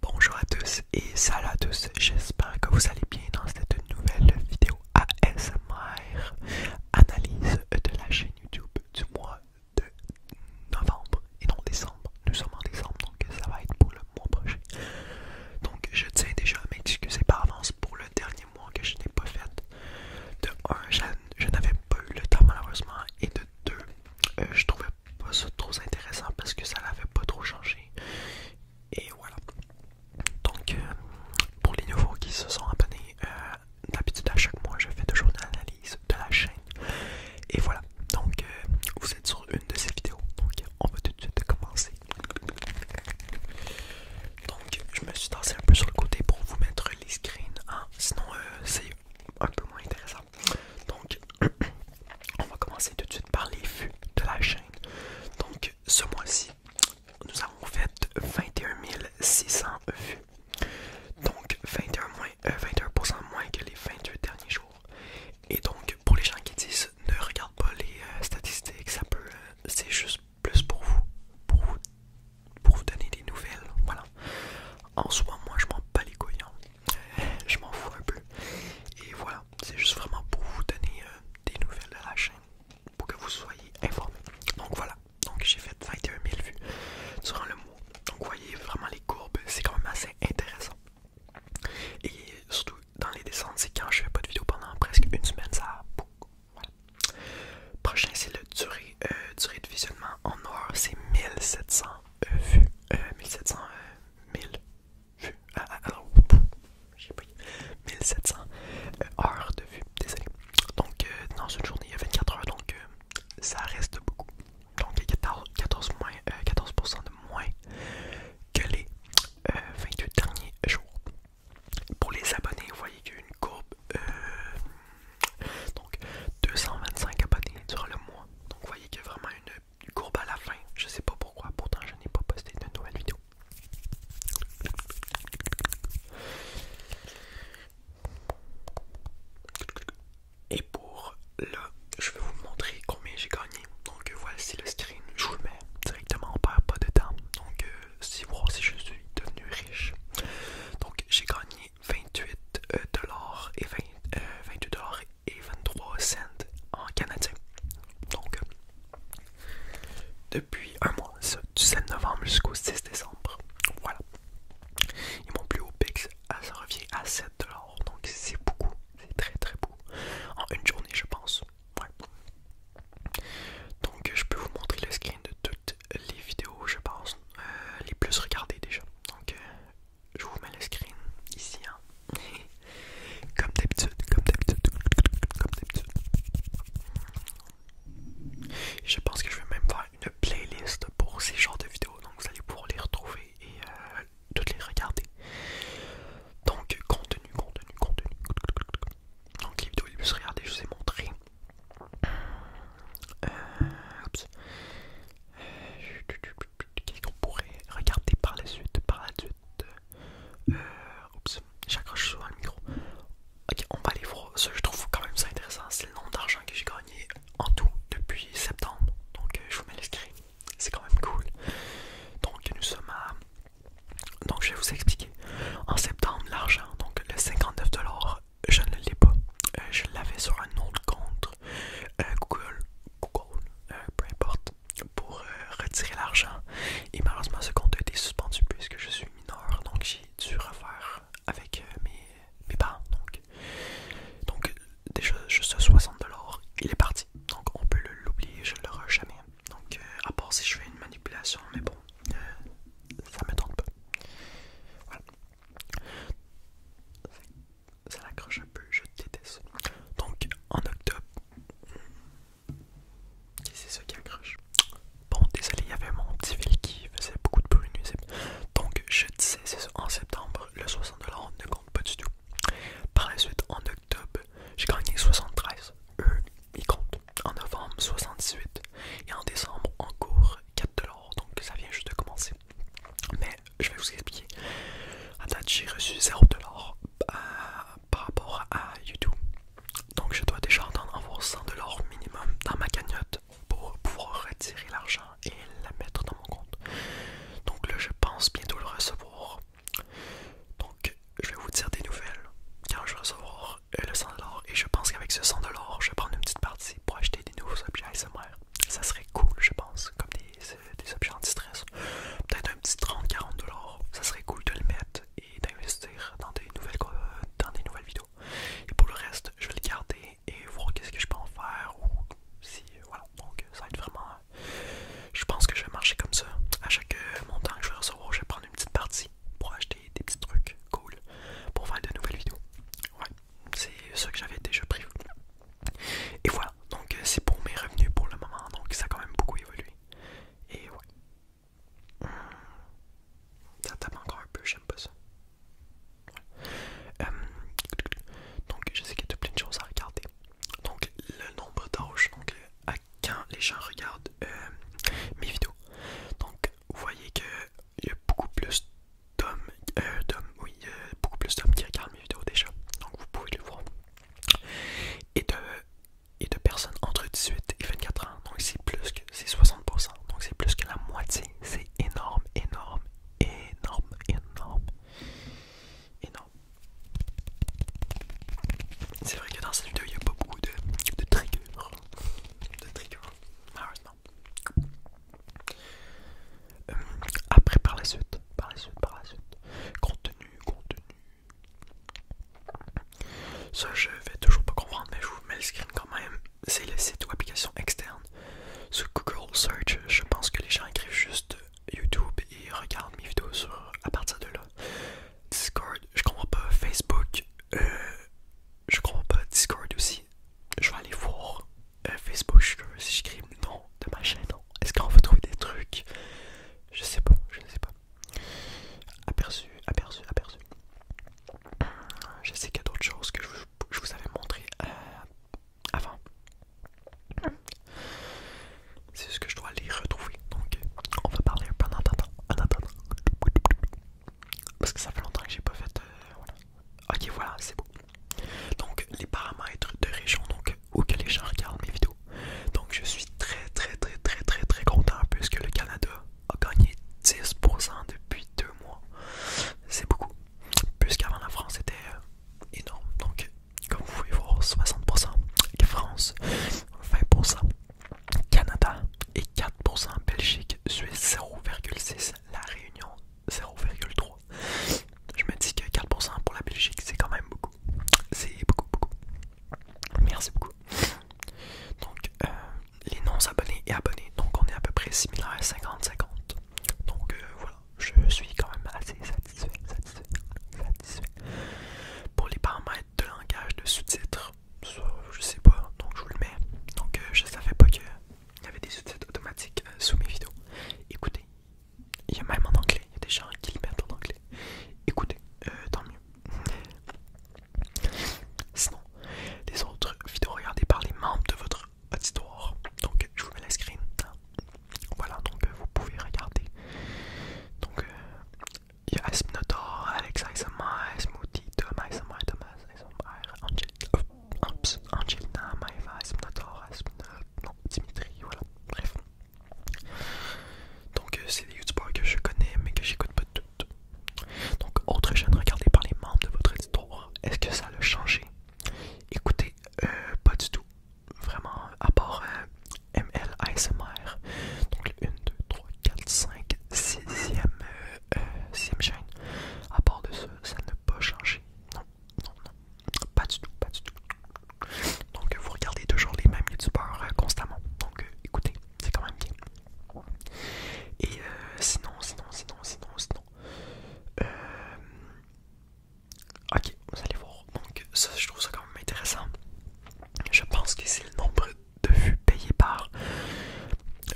Bonjour à tous et salut à tous, j'espère que vous allez bien dans cette nouvelle vidéo ASMR Analyse de la chaîne YouTube du mois de novembre et non décembre, nous sommes en décembre donc ça va être pour le mois prochain Donc je tiens déjà à m'excuser par avance pour le dernier mois que je n'ai pas fait De un, je, n'avais pas eu le temps malheureusement et de deux, euh, je trouvais pas trop intéressant parce que ça l'avait pas trop changé. Et voilà. Donc, euh, pour les nouveaux qui se sont abonnés, euh, d'habitude à chaque mois, je fais toujours une analyse de la chaîne. Et voilà. Donc, euh, vous êtes sur une de ces vidéos. Donc, on va tout de suite commencer. Donc, je me suis tassé un peu sur le côté pour vous mettre les screens. Sinon, c'est un peu moins intéressant. Donc, on va commencer tout de suite par les vues de la chaîne. Donc, ce mois-ci, nous avons fait 21 600 vues. Donc, 21%, euh, moins, que les 22 derniers jours. Et donc, pour les gens qui disent ne regarde pas les euh, statistiques, ça euh, c'est juste plus pour vous, pour vous, pour vous donner des nouvelles. Voilà. En soi, moi, je m'en bats les couillons. Hein je m'en fous un peu. Et voilà, c'est juste vraiment pour vous donner euh, des nouvelles de la chaîne, pour que vous soyez informés. Donc voilà, donc j'ai fait 21 000 vues durant le mot. Donc vous voyez vraiment les courbes, c'est quand même assez intéressant. Et surtout dans les descentes, c'est quand je fais pas de vidéo pendant presque une semaine, ça a beaucoup. Prochain, c'est le durée, euh, durée de visionnement en noir c'est 1700 euh, vu, 1700, 1000 vues, 1700 heures de vues, désolé. Donc, euh, dans une journée, il y a 24 heures, donc euh, ça reste beaucoup. Donc, 14, moins, 14 de moins que les 28 derniers jours. Pour les abonnés, vous voyez qu'il une courbe donc 225 abonnés sur le mois. Donc vous voyez qu'il y a vraiment une courbe à la fin. Je sais pas pourquoi, pourtant je n'ai pas posté de nouvelle vidéo. Et pour là, je vais vous montrer combien j'ai gagné. Donc voici le screen, je vous le mets directement, on perd pas de temps. Donc euh, si vous si je suis devenu riche. Donc j'ai gagné 28 et 20, 28 dollars et 23 euh, cents en canadien. Donc depuis un mois, du 7 novembre jusqu'au 6 décembre. Voilà. ils mon plus haut pix, euh, ça revient à 7$. Donc c'est beaucoup. C'est très très beau. En une journée, je pense. Ouais. Donc je peux vous montrer le screen de tout les vidéos, je pense, euh, les plus regardées déjà. Donc, euh, je vous mets le screen ici. Hein. comme d'habitude, comme d'habitude, comme d'habitude. Je pense que je vais même faire une playlist pour ces genres de vidéos. Donc, vous allez pouvoir les retrouver et euh, toutes les regarder. Donc, contenu, contenu, contenu. Donc, les vidéos les plus regardées, je vous ai montré. Euh, euh, qu'est-ce qu'on pourrait regarder par la suite Par la suite. Euh, j'accroche souvent le micro. Ok, on va aller voir. ce que je trouve quand même ça intéressant. C'est le nombre d'argent que j'ai gagné en tout depuis septembre. Donc, je vous mets l'esprit. C'est quand même cool. Donc, nous sommes à. Donc, je vais vous expliquer. En septembre, l'argent, donc le 59$ je ne l'ai pas. Euh, je l'avais sur un autre compte euh, Google, Google euh, peu importe, pour retirer l'argent. Et malheureusement, ce compte a été suspendu puisque je suis mineur, donc j'ai dû refaire avec mes, parents. Donc, donc déjà, juste 60$, il est parti. Donc on peut l'oublier, je ne l'aurai jamais. Donc à part si je fais une manipulation, mais bon, ça me tente pas. Voilà. Ça l'accroche un peu, je déteste. Donc en octobre, qui c'est ce qui accroche. Bon, désolé, il y avait mon petit fil qui faisait beaucoup de bruit nuisible. Donc je disais, c'est en septembre, le 60$ ne compte pas du tout. Par la suite, en octobre, j'ai gagné 73€ il compte. En novembre 78 et en décembre encore cours 4$, donc ça vient juste de commencer. Mais je vais vous expliquer. À date, j'ai reçu 0$ dollars euh, par rapport à YouTube. Donc je dois déjà attendre avoir 100$ minimum dans ma cagnotte pour pouvoir retirer l'argent et la mettre dans mon compte. Donc là, je pense bientôt le recevoir. Donc je vais vous dire des nouvelles quand je vais recevoir euh, le 100 et je pense qu'avec ce 100 je vais prendre une petite partie pour acheter des nouveaux objets ASMR. Ça serait cool, je pense, comme des, euh, objets anti-stress. Peut-être un petit 30-40 dollars, ça serait cool de le mettre et d'investir dans des nouvelles dans des nouvelles vidéos. Et pour le reste, je vais le garder et voir qu'est-ce que je peux en faire ou si euh, voilà. Donc ça va être vraiment je pense que je vais marcher comme ça. À chaque montant que je vais recevoir, je vais prendre une petite partie pour acheter des petits trucs cool pour faire de nouvelles vidéos. Ouais, c'est ce que j'avais déjà prévu. Et voilà, donc euh, c'est pour mes revenus pour le moment, donc ça a quand même beaucoup évolué. Et ouais. Hmm. Ça tape encore un peu, j'aime pas ça. Euh, donc je sais qu'il y a plein de choses à regarder. Donc le nombre d'âges, donc euh, quand les gens regardent euh, mes vidéos. Donc, vous voyez qu'il y a beaucoup plus d'hommes, euh, euh, beaucoup plus d'hommes qui regardent mes vidéos déjà. Donc, vous pouvez le voir. Et de, et de personnes entre 18 et 24 ans. Donc, c'est plus que, c'est 60%. Donc, c'est plus que la moitié. C'est énorme, énorme, énorme, énorme, énorme. C'est vrai que dans cette vidéo il n'y a pas beaucoup de, de triggers. De triggers, malheureusement. Euh, après par la suite, par la suite, par la suite. Contenu, contenu. Ça je vais toujours pas comprendre mais je vous mets le screen quand même. C'est les sites ou applications externes. Sur Google Search, je pense que les gens écrivent juste YouTube et regardent mes vidéos à partir de là. Discord, je comprends pas. Facebook, euh, je comprends pas. Discord aussi. Je vais aller voir euh, Facebook je, si je de ma chaîne. Est-ce qu'on va trouver des trucs Je sais pas, je ne sais pas. Aperçu, aperçu, aperçu. Je sais qu'il y a d'autres choses que je, vous avais montré euh, avant. C'est ce que je dois les retrouver. Donc, on va parler un temps. en attendant. Parce que ça fait longtemps que j'ai pas fait. Euh, ok, voilà, c'est beau. Donc, les paramètres de région donc, où les gens regardent mes vidéos. Donc, je suis très, très, très, très, très, très content puisque le Canada a gagné 10% depuis deux mois. C'est beaucoup. Puisqu'avant la France était euh, énorme. Donc, comme vous pouvez voir, 60% France, 20% Canada et 4% Belgique, Suisse 0,6, La Réunion 0,3. Je me dis que 4% pour la Belgique, c'est quand même beaucoup. C'est beaucoup, beaucoup. Merci beaucoup. Donc, euh, les non-abonnés et abonnés, donc on est à peu près à 50-50. Donc euh, voilà, je suis quand même assez satisfait. Pour les paramètres de langage de sous-titres, je sais pas, donc je vous le mets. Donc euh, je savais pas qu'il y avait des sous-titres automatiques euh, sous mes vidéos. Écoutez, il y a même en anglais, il y a des gens qui le mettent en anglais. Écoutez, euh, tant mieux. Sinon, les autres vidéos regardées par les membres de votre auditoire. Donc je vous mets la screen. Voilà, donc euh, vous pouvez regarder. Donc, euh, il y a Asminotor, Alex ASMR, Smoothie, Thomas ASMR, Thomas ASMR, euh, Angelina, Maeva, Asminotor, Asminotor, non, Dimitri, voilà, bref. Donc, c'est des youtubeurs que je connais mais que j'écoute pas tout. Donc, autre chaîne regardée par les membres de votre éditeur est-ce que ça le changé Écoutez, pas du tout vraiment, à part euh, ML ASMR, donc 1, 2, 3, 4, 5, 6 e chaîne, à part de ça, ça n'a pas changé. Non, non, non, pas du tout, pas du tout. Donc vous regardez toujours les mêmes youtubeurs euh, constamment, donc euh, écoutez, c'est quand même bien. Et sinon, sinon, sinon, sinon, sinon. Euh, Ok, vous allez voir. Donc, ça, je trouve ça quand même intéressant. Je pense que c'est le nombre de vues payées par,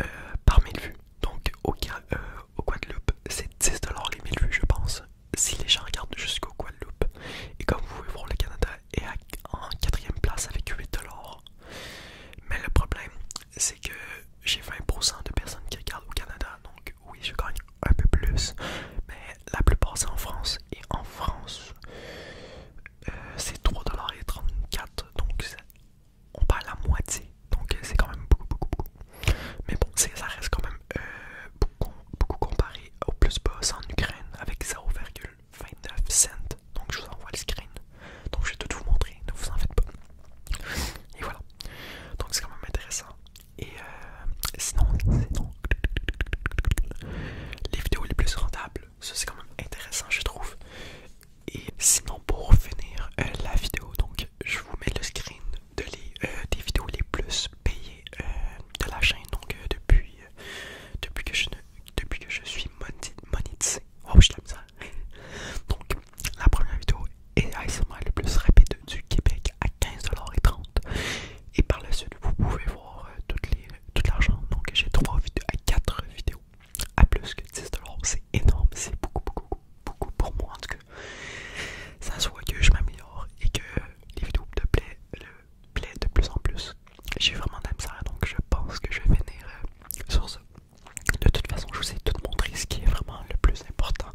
euh, par 1000 vues. Donc, au, euh, au Guadeloupe, c'est 10$ les 1000 vues, je pense. Si les gens regardent jusqu'au Guadeloupe. Et comme vous pouvez voir, le Canada est en en quatrième place avec 8$. Mais le problème, c'est que j'ai 20% de personnes qui regardent au Canada. Donc, oui, je gagne un peu plus, mais la plupart c'est en France. Et en France, euh, c'est 3,34$, donc on parle la moitié, donc euh, c'est quand même beaucoup, beaucoup, beaucoup. Mais bon, ça reste quand même euh, beaucoup, comparé au plus bas en Ukraine avec 0,29 cent Donc je vous envoie le screen, donc je vais tout vous montrer, ne vous en faites pas. Et voilà, donc c'est quand même intéressant. Et euh, sinon, les vidéos les plus rentables, ça c'est quand même intéressant je trouve. Et sinon pour finir euh, la vidéo, donc je vous mets le screen de euh, des vidéos les plus payées de la chaîne, donc depuis, depuis, que je depuis que je suis monétisé. Oh, donc la première vidéo et ASMR le plus rapide du Québec à 15,30$. Et par la suite, vous pouvez voir euh, toutes les, tout l'argent. Donc j'ai 3 vidéos à 4 vidéos à plus que 10$. C'est énorme, c'est beaucoup, beaucoup, beaucoup pour moi en tout cas. Ça soit que je m'améliore et que les vidéos te plaisent le plaît de plus en plus. J'ai vraiment d'aime ça donc je pense que je vais venir euh, sur ça. De toute façon, je vous ai tout montré ce qui est vraiment le plus important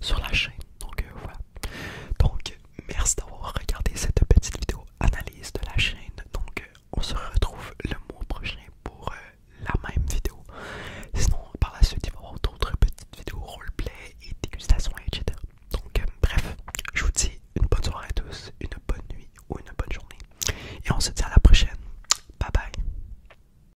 sur la chaîne. Donc euh, voilà. Donc merci d'avoir regardé cette petite vidéo analyse de la chaîne. Donc euh, on se retrouve le mois prochain pour euh, la même vidéo. Sinon par la suite il va y avoir d'autres petites vidéos roleplay et dégustation etc. Donc bref, je vous dis une bonne soirée à tous, une bonne nuit ou une bonne journée. Et on se dit à la prochaine. Bye bye.